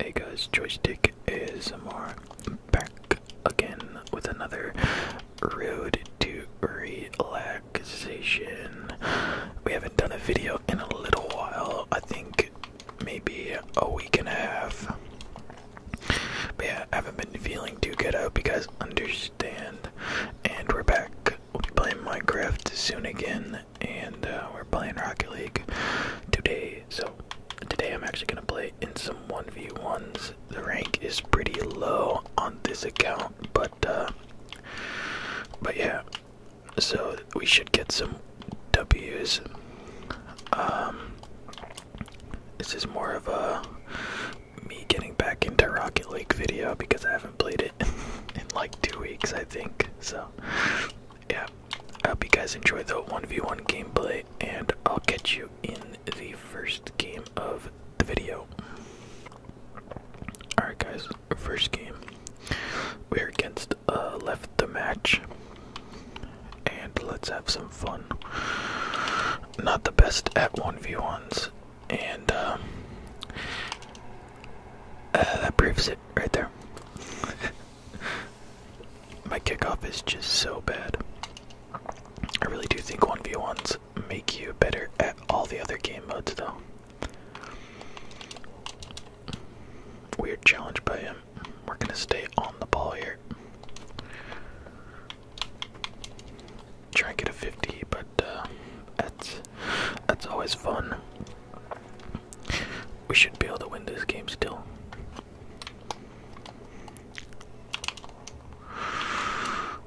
Hey guys, Joystick ASMR back again with another road to relaxation. We haven't done a video in a little while, I think maybe a week and a half. But yeah, I haven't been feeling too good. out because understand. And we're back. We'll be playing Minecraft soon again. And uh, we're playing Rocket League today. So today I'm actually going to play in some 1v1s. The rank is pretty low on this account. But, uh, but yeah. So we should get some W's. Um, this is more of a me getting back into Rocket League video because I haven't played it in like two weeks, I think. So, yeah, I hope you guys enjoy the 1v1 gameplay, and I'll catch you in the first game of the video. Alright, guys, first game. We're against uh, Left the Match and let's have some fun. Not the best at 1v1s, and uh, uh, that proves it right there. My kickoff is just so bad. I really do think 1v1s make you better at all the other game modes, though. Weird challenge by him. We're gonna stay on the ball here. Try to get a 50, but uh, that's that's always fun. We should be able to win this game still.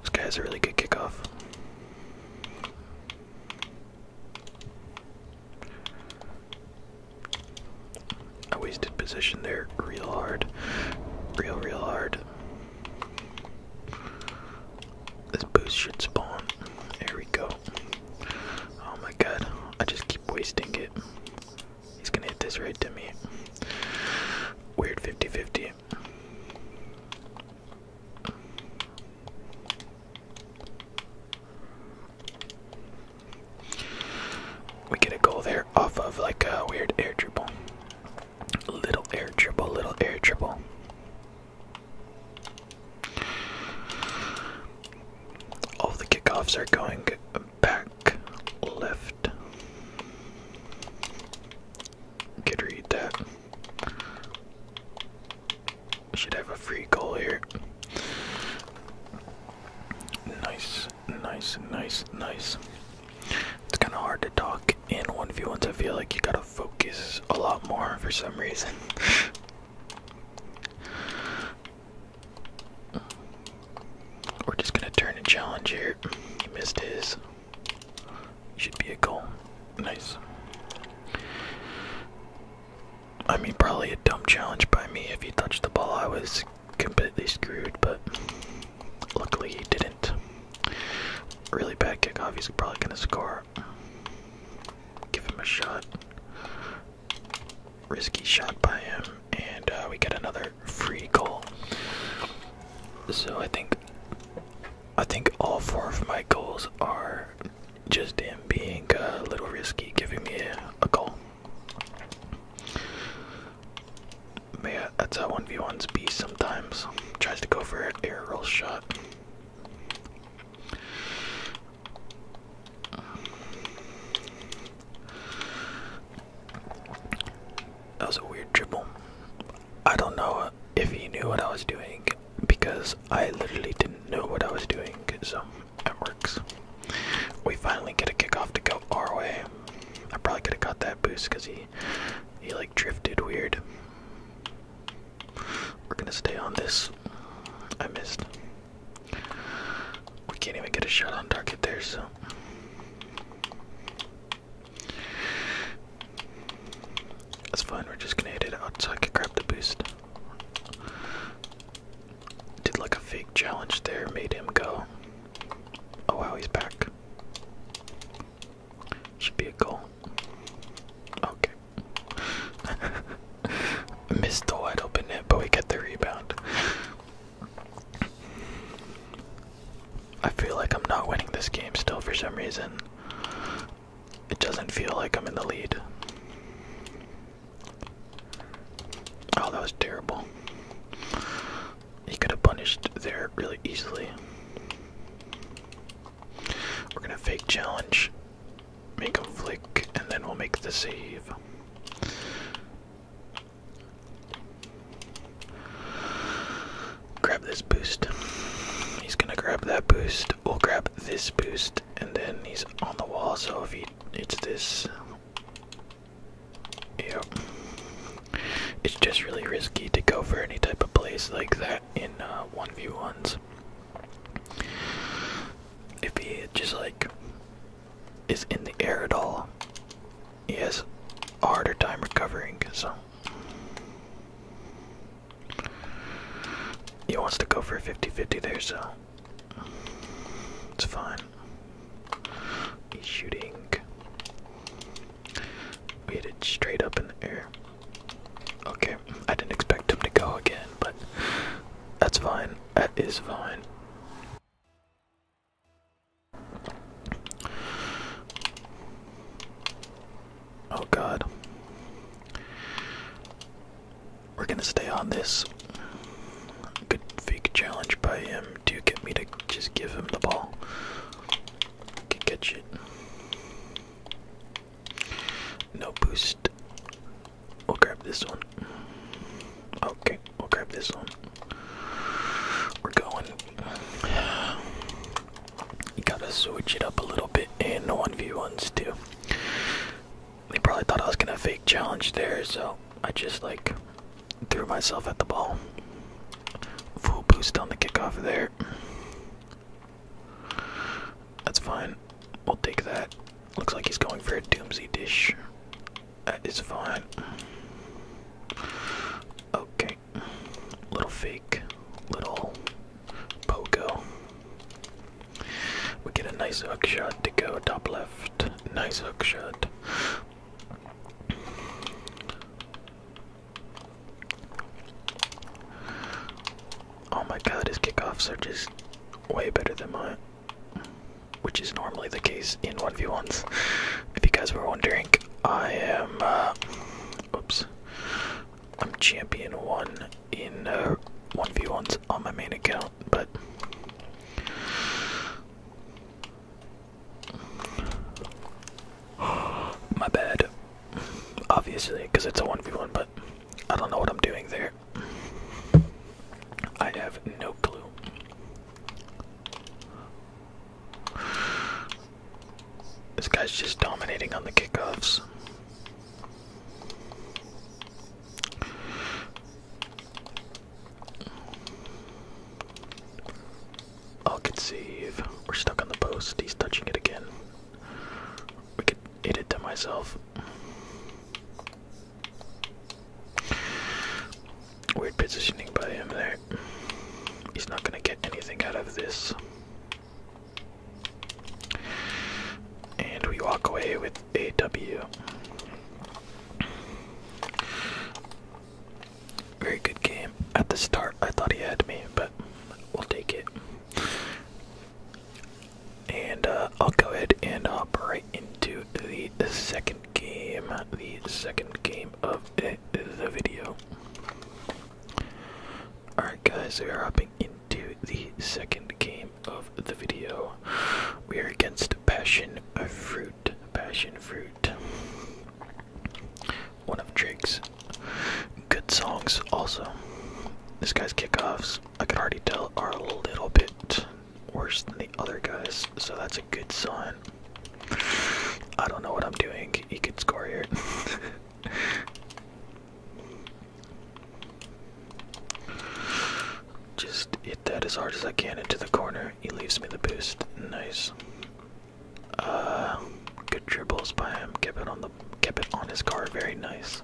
This guy has a really good kickoff. I wasted position there real hard. Real, real hard. This boost should spawn. There we go. Oh my god. I just keep wasting it. He's gonna hit this right to me. Weird 50 50. We get a goal there off of like a weird air dribble. Little air dribble, little air dribble. All the kickoffs are going back left. Could read that. Should have a free goal here. Nice nice, nice, nice. It's kind of hard to talk in 1v1s. I feel like you gotta focus a lot more for some reason. We're just gonna turn a challenge here. He missed his. Should be a goal. Nice. I mean, probably a dumb challenge by me. If you touch the ball, I was completely screwed, but luckily he didn't. Really bad kickoff. He's probably gonna score. Give him a shot. Risky shot by him, and uh, we get another free goal. So I think, I think all four of my goals are just him being uh, a little risky, giving me a goal. But that's how 1v1s be sometimes. Tries to go for an aerial shot. That was a weird dribble. I don't know if he knew what I was doing because I literally didn't know what I was doing, so that um, works. We finally get a kickoff to go our way. I probably could have got that boost because he he like drifted weird. We're gonna stay on this. I missed. We can't even get a shot on target there, so that's fine. We're just gonna hit it out so I can grab the boost. Did like a fake challenge there, made him go. Oh wow, he's back. Should be a goal. Okay. Missed the wide open net, but we get the rebound. I feel like I'm not winning this game still for some reason. It doesn't feel like I'm in the lead. Oh, that was terrible. He could have punished there really easily. We're gonna fake challenge, make a flick, and then we'll make the save. Grab this boost. He's gonna grab that boost. We'll grab this boost, and then he's on the wall. So if he hits this, Yep. It's just really risky to go for any type of place like that in 1v1s. Uh, if he just like is in the air at all, he has harder time recovering, so. He wants to go for a 50 50 there, so. It's fine. He's shooting. We hit it straight up in the air. Okay, I didn't expect him to go again, but that's fine. That is fine. Oh god. We're gonna stay on this Good fake challenge by him to get me to just give him the ball. Can catch it. No boost. We'll grab this one. Okay, we'll grab this one. We're going. You gotta switch it up a little bit in 1v1s too. They probably thought I was gonna fake challenge there, so I just like Threw myself at the ball. Full boost on the kickoff there. That's fine. We'll take that. Looks like he's going for a doomsy dish. That is fine. Okay. Little fake. Little pogo. We get a nice hook shot to go top left. Nice hook shot. Oh my god, his kickoffs are just way better than mine. Which is normally the case in 1v1s. If you guys were wondering, I am, uh, oops, I'm champion 1 in 1v1s uh, on my main account, but my bad. Obviously, because it's a 1v1, but I don't know what I'm doing there. I have no clue. This guy's just dominating on the kickoffs. Oh, I'll conceive. We're stuck on the post. He's touching it again. We could hit it to myself. Weird positioning by him there. He's not gonna get anything out of this. And we walk away with a W. Very good game. At the start, I thought he had me, but we'll take it. And uh, I'll go ahead and hop right into the second game, the second game of the, video. Alright, guys, we are hopping into the second game of the video. We are against Passion of Fruit passion fruit. One of Drake's good songs, also. This guy's kickoffs, I could already tell, are a little bit worse than the other guys, so that's a good sign. I don't know what I'm doing, he could score here. Just hit that as hard as I can into the corner. He leaves me the boost. Nice. Uh, good dribbles by him. Keep it on the keep it on his car. Very nice.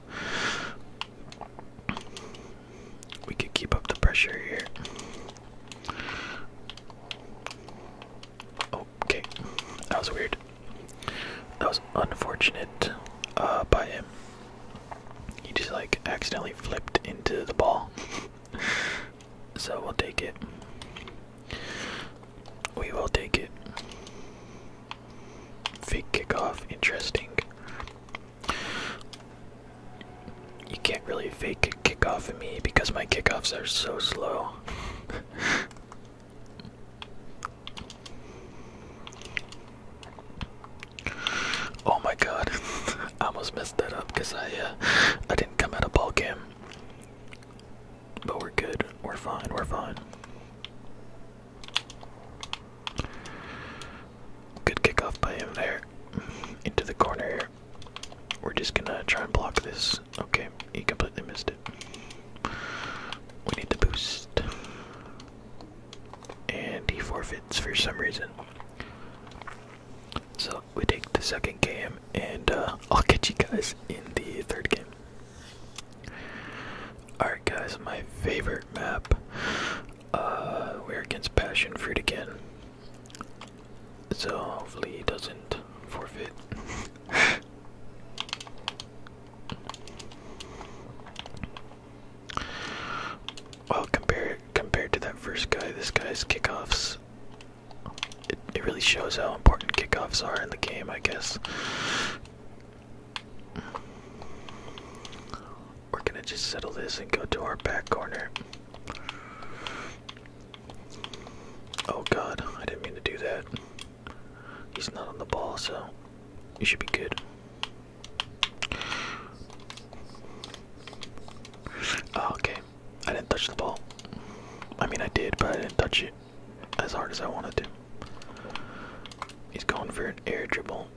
We can keep up the pressure here. Okay, that was weird. That was unfortunate uh, by him. He just like accidentally flipped into the ball so we'll take it. We will take it. Fake kickoff, interesting. You can't really fake a kickoff at me because my kickoffs are so slow. Oh my god, I almost messed that up because I uh, I didn't come out of ball game. But we're good. We're fine. We're fine. Good kickoff by him there. Into the corner here. We're just gonna try and block this. Okay, he completely missed it. We need the boost. And he forfeits for some reason. So we take the second game, and uh, I'll catch you guys in the third game. Alright, guys, my favorite map. Uh, we're against Passion Fruit again. So hopefully he doesn't forfeit. Well, compared compared to that first guy, this guy's kickoffs. It, it really shows how important kickoffs are in the game, I guess. We're gonna just settle this and go to our back corner. Oh god, I didn't mean to do that. He's not on the ball, so you should be good. Oh, okay, I didn't touch the ball. I mean, I did, but I didn't touch it as hard as I wanted to. He's going for an air dribble.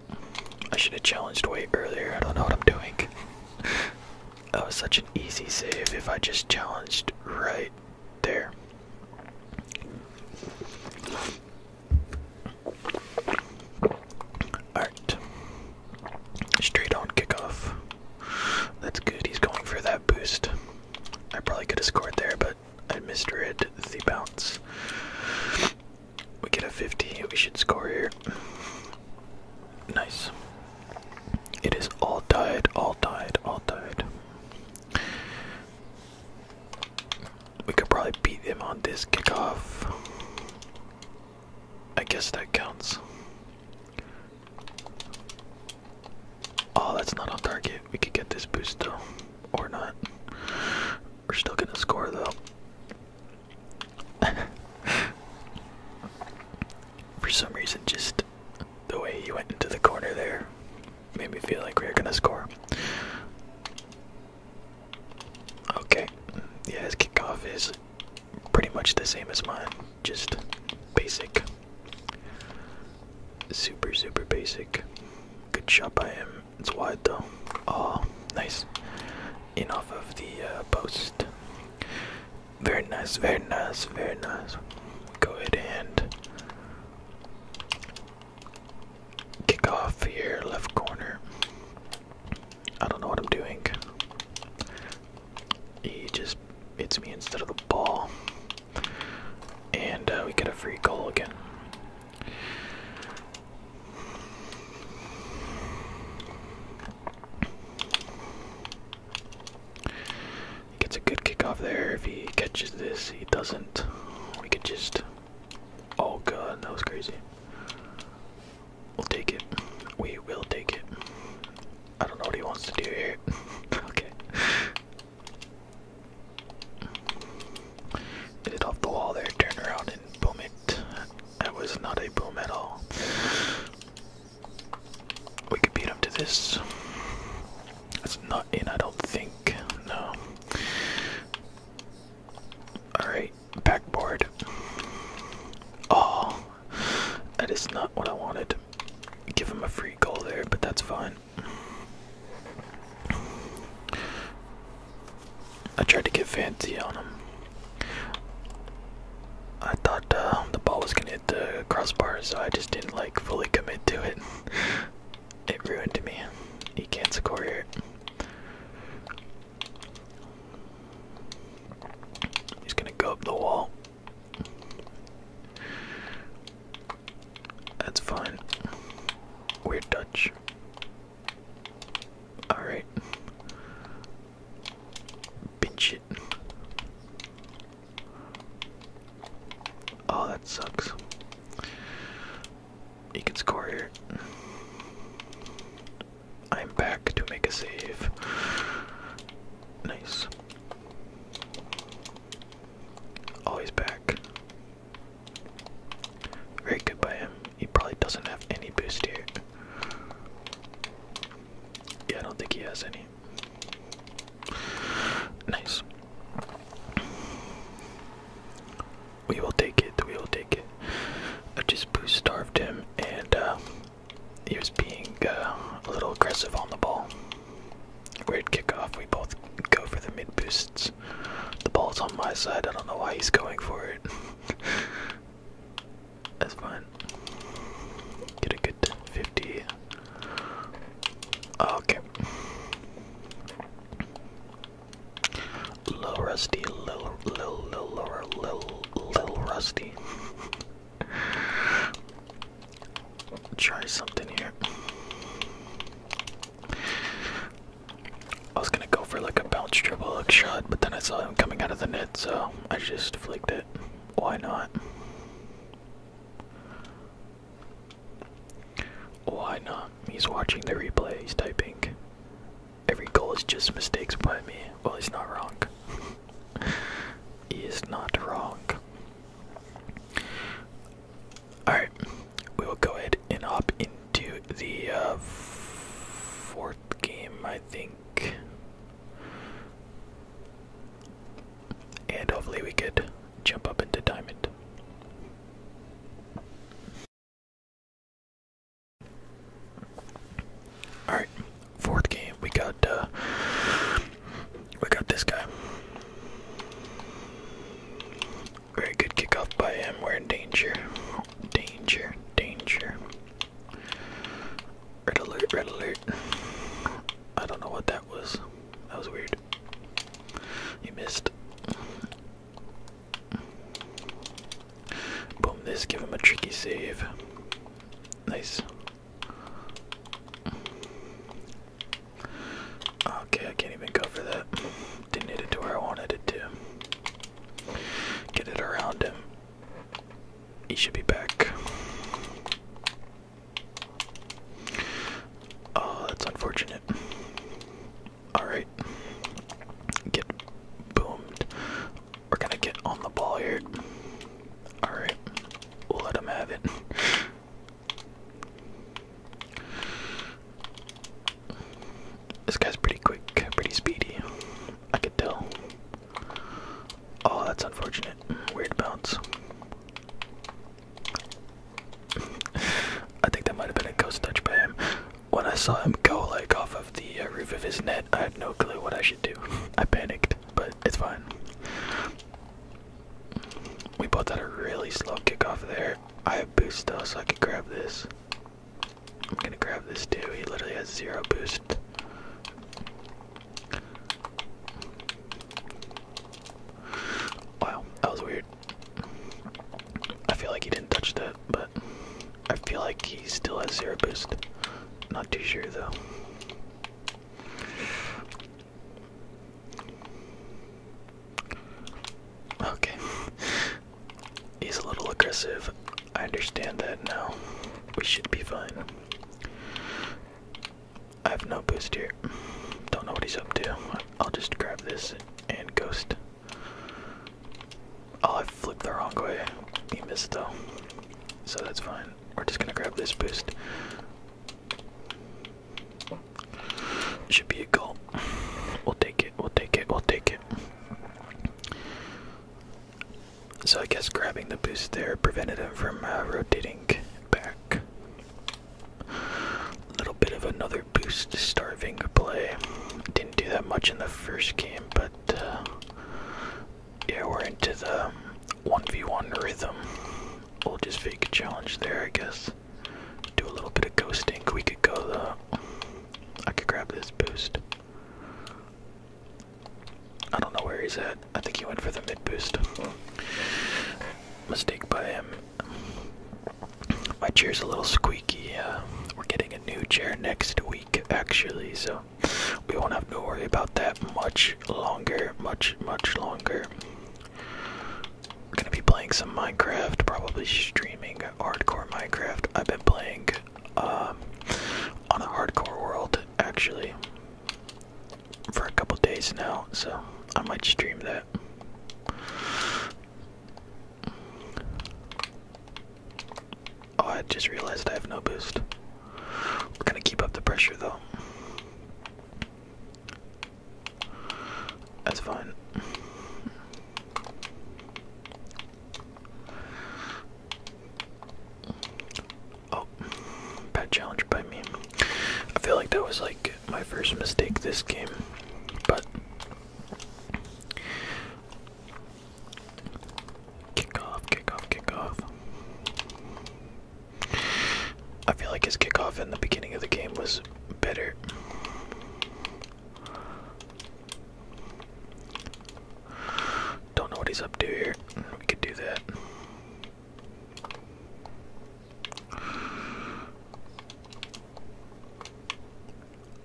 I should have challenged way earlier. I don't know what I'm doing. that was such an easy save if I just challenged right there. Alright. Straight on kickoff. That's good. He's going for that boost. I probably could have scored there, but I misread the bounce. We get a 50. We should score here. Nice. It is all tied, all tied, all tied. We could probably beat him on this kickoff. I guess that counts. Oh, that's not on target. We could get this boost though. Or not. We're still gonna score though. For some reason, just the way he went into the corner there made me feel like we were gonna score. Okay. Yeah, his kickoff is pretty much the same as mine, just basic. Super, super basic. Good shot I am. It's wide though. Oh, nice. In off of the uh, post. Very nice, very nice, very nice. Go ahead and kick off here, left corner. I don't know what I'm doing. He just hits me instead of the ball. And uh, we get a free goal again. He gets a good kick off there. If he catches this, he doesn't. We could just. Oh god, that was crazy. We'll take it. We will take it. I don't know what he wants to do here. okay. Hit it off the wall there, turn around and boom it. That was not a boom at all. We could beat him to this. That's not in, I don't think. No. Alright backboard. Oh, that is not what I wanted. Give him a free goal there, but that's fine. I tried to get fancy on him. I thought uh, the ball was gonna hit the crossbar, so I just didn't like fully commit to it. it ruined me. He can't score here. He's gonna go up the wall. That's fine. Weird touch. Alright. Bitch it. Oh, that sucks. He can score here. I'm back to make a save. Nice. Always back. Very good by him. He probably doesn't have any boost here. Yeah, I don't think he has any. Nice. We will take it, we will take it. I just boost starved him and uh, he was being um, a little aggressive on the ball. Weird kickoff. We both go for the mid boosts. The ball's on my side. I don't know why he's going for it. That's fine. Get a good 50. Okay. Little rusty, little, little, little, little, little, a little rusty. Try something here. I was gonna go for like a bounce triple hook shot, but then I saw him coming out of the net, so I just flicked it. Why not? Why not? He's watching the replay, he's typing. Every goal is just mistakes by me. Well, he's not wrong. he is not wrong. Alright, we will go ahead and hop into the uh, fourth game, I think. And hopefully we could jump up into Diamond. Alright, fourth game. We got uh we got this guy. Very good kickoff by him. We're in danger. Danger. Danger. Red alert, red alert. I don't know what that was. That was weird. You missed. Boom this, give him a tricky save. Nice. Okay, I can't even cover that. Didn't hit it to where I wanted it to. Get it around him. He should be back. Oh, that's unfortunate. Alright. Get boomed. We're gonna get on the ball here. Alright, we'll let him have it. This guy's pretty quick, pretty speedy. I could tell. Oh, that's unfortunate. Weird bounce. I think that might have been a ghost touch by him. When I saw him go like off of the uh, roof of his net. I have no clue what I should do. I panicked, but it's fine. We both had a really slow kickoff there. I have boost though, so I can grab this. I'm gonna grab this too. He literally has zero boost. Wow, that was weird. I feel like he didn't touch that, but I feel like he still has zero boost. Not too sure though. Okay. He's a little aggressive. I understand that now. We should be fine. I have no boost here. Don't know what he's up to. I'll just grab this and ghost. Oh, I flipped the wrong way. He missed though. So that's fine. We're just gonna grab this boost. Should be a goal. We'll take it, we'll take it, we'll take it. So I guess grabbing the boost there prevented him from uh, rotating back. A little bit of another boost starving play. Didn't do that much in the first game, but uh, yeah, we're into the 1v1 um, rhythm. We'll just fake a challenge there, I guess. Do a little bit of ghosting. We could go the. I could grab this boost. I don't know where he's at. I think he went for the mid boost. Mistake by him. My chair's a little squeaky. Uh, we're getting a new chair next week, actually, so we won't have to worry about that much longer, much, much longer. gonna be playing some Minecraft, probably streaming hardcore Minecraft. I've been playing um, on a hardcore world actually for a couple days now, so I might stream that. Oh, I just realized I have no boost. We're gonna keep up the pressure though. That's fine. Oh, bad challenge by me. I feel like that was like my first mistake this game, but Kickoff, kickoff, kickoff. I feel like his kickoff in the beginning of the game was better. Don't know what he's up to here. We could do that.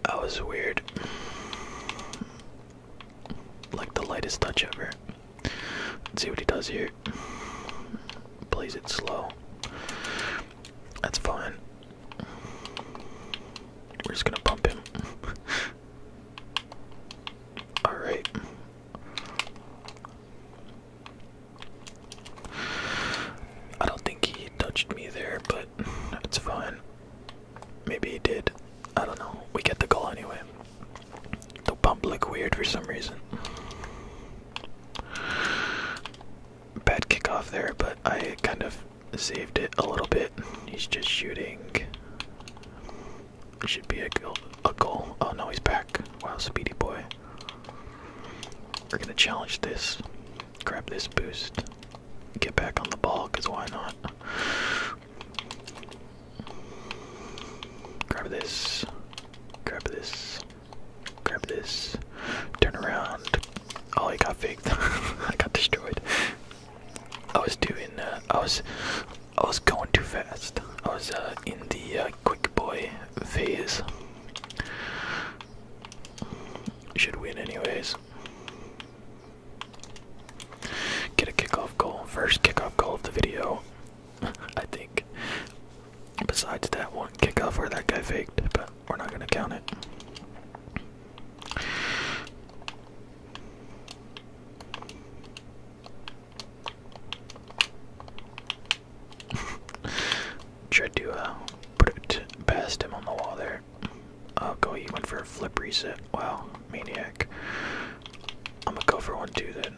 That was weird like the lightest touch ever. see what he does here. Plays it slow. That's fine. We're just gonna bump him. Alright. I don't think he touched me there, but it's fine. Maybe he did. I don't know. We get the goal anyway. The bump look weird for some reason. Bad kickoff there, but I kind of saved it a little bit. He's just shooting. should be a goal. A goal. Oh no, he's back. Wow, speedy boy. We're gonna challenge this. Grab this boost. Get back on the ball, cause why not? Grab this. Grab this. Grab this. Turn around. Oh, I got faked. I got destroyed. I was doing. Uh, I was. I was going too fast. I was uh, in the uh, quick boy phase. Should win anyways. Get a kickoff goal. First kickoff goal of the video, I think. Besides that one kickoff where that guy faked, but we're not gonna count it. Tried put it past him on the wall there. Oh, go! He went for a flip reset. Wow, maniac! I'm gonna go for one two then.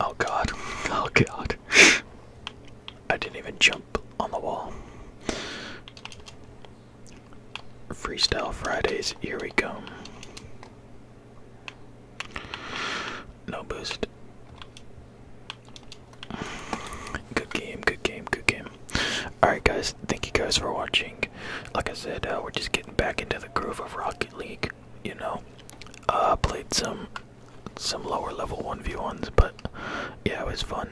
Oh god. Oh god. I didn't even jump on the wall. Freestyle Fridays, here we go. No boost. Good game, good game, good game. Alright, guys, thank you guys for watching. Like I said, uh, we're just getting back into the groove of Rocket League, you know. Uh, played some some lower level 1v1s, but yeah, it was fun.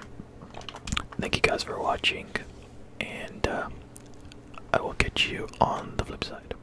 Thank you guys for watching, and uh, I will catch you on the flip side.